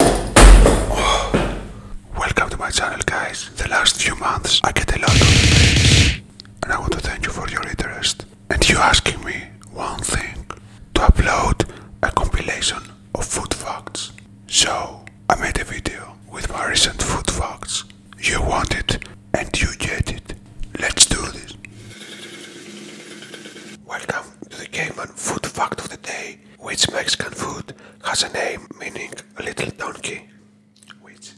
Oh. Welcome to my channel guys. The last few months I get a lot of emails and I want to thank you for your interest. And you asking me one thing, to upload a compilation of food facts. So I made a video with my recent food facts. You want it and you get it. Let's do this. Welcome to the Cayman Food Fact of the Day, which Mexican food has a name meaning little donkey, which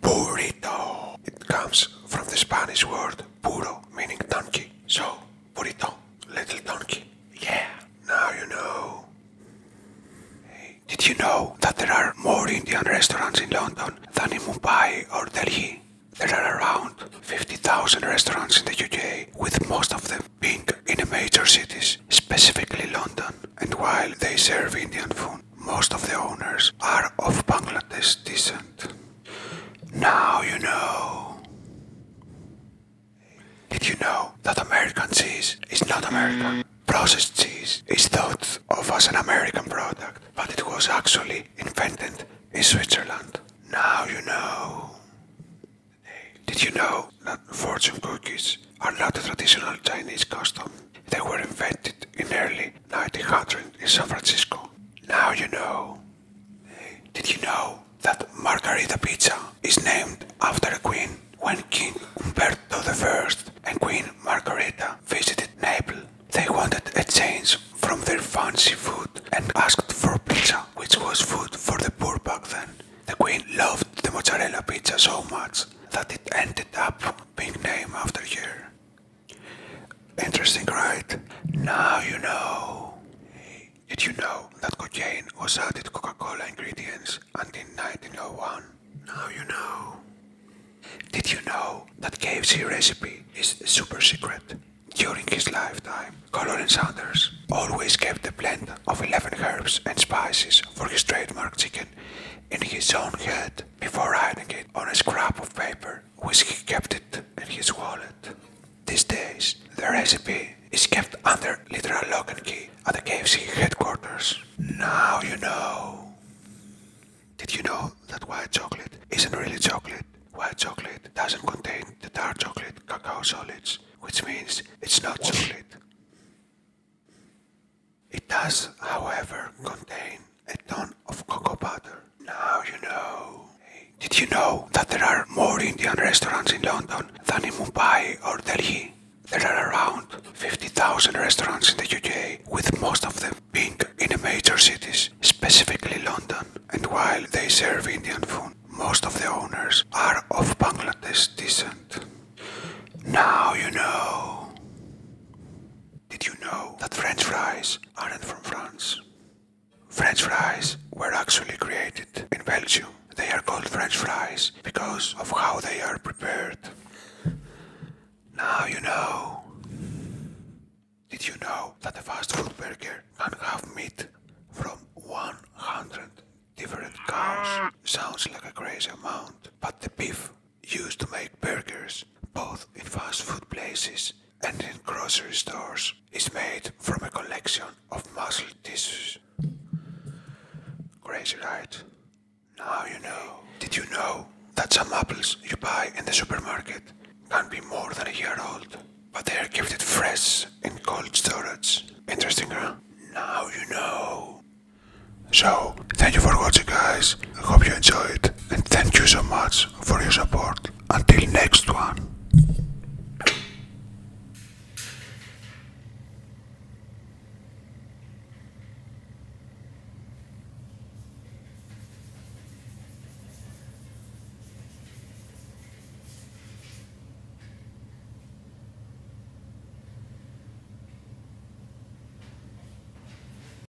burrito. It comes from the Spanish word burro, meaning donkey. So, burrito, little donkey. Yeah, now you know. did you know that there are more Indian restaurants in London than in Mumbai or Delhi? There are around 50,000 restaurants in the UK, with most of them being in the major cities, specifically London. And while they serve Indian food, most of the owners are of Bangladesh descent. Now you know. Did you know that American cheese is not American? Processed cheese is thought of as an American product, but it was actually invented in Switzerland. Now you know. Did you know that fortune cookies are not a traditional Chinese custom? They were invented in early 1900 in San Francisco. Now you know. Did you know that margarita pizza is named after a queen when King Umberto I and Queen Margarita visited Naples. They wanted a change from their fancy food and asked for pizza, which was food for the poor back then. The Queen loved the mozzarella pizza so much that it ended up being named after her. Interesting, right? Now you know. Did you know that cocaine was added Coca-Cola ingredients until 1901. Now you know. Did you know that KFC recipe is super secret? During his lifetime, Colonel Sanders always kept the blend of 11 herbs and spices for his trademark chicken in his own head before writing it on a scrap of paper, which he kept it in his wallet. These days, the recipe is kept under literal lock and key at the KFC headquarters. Now you know. Did you know that white chocolate isn't really chocolate? White chocolate doesn't contain the dark chocolate cacao solids, which means it's not chocolate. It does, however, contain a ton of cocoa butter. Now you know. Did you know that there are more Indian restaurants in London than in Mumbai or Delhi? There are around 50,000 restaurants in the UK, with most of them being in the major cities, specifically London. And while they serve Indian food, most of the owners are of Bangladesh descent. Now you know. Did you know that French fries aren't from France? French fries were actually created in Belgium. They are called French fries because of how they are prepared. Now you know. Did you know that a fast food burger can have meat from 100 different cows? Sounds like a crazy amount, but the beef used to make burgers, both in fast food places and in grocery stores, is made from a collection of muscle tissues. Crazy, right? Now you know. Did you know that some apples you buy in the supermarket can be more than a year old, but they are kept fresh in cold storage? Interesting, huh? Now you know. So, thank you for watching, guys. I hope you enjoyed, and thank you so much for your support. Until next one.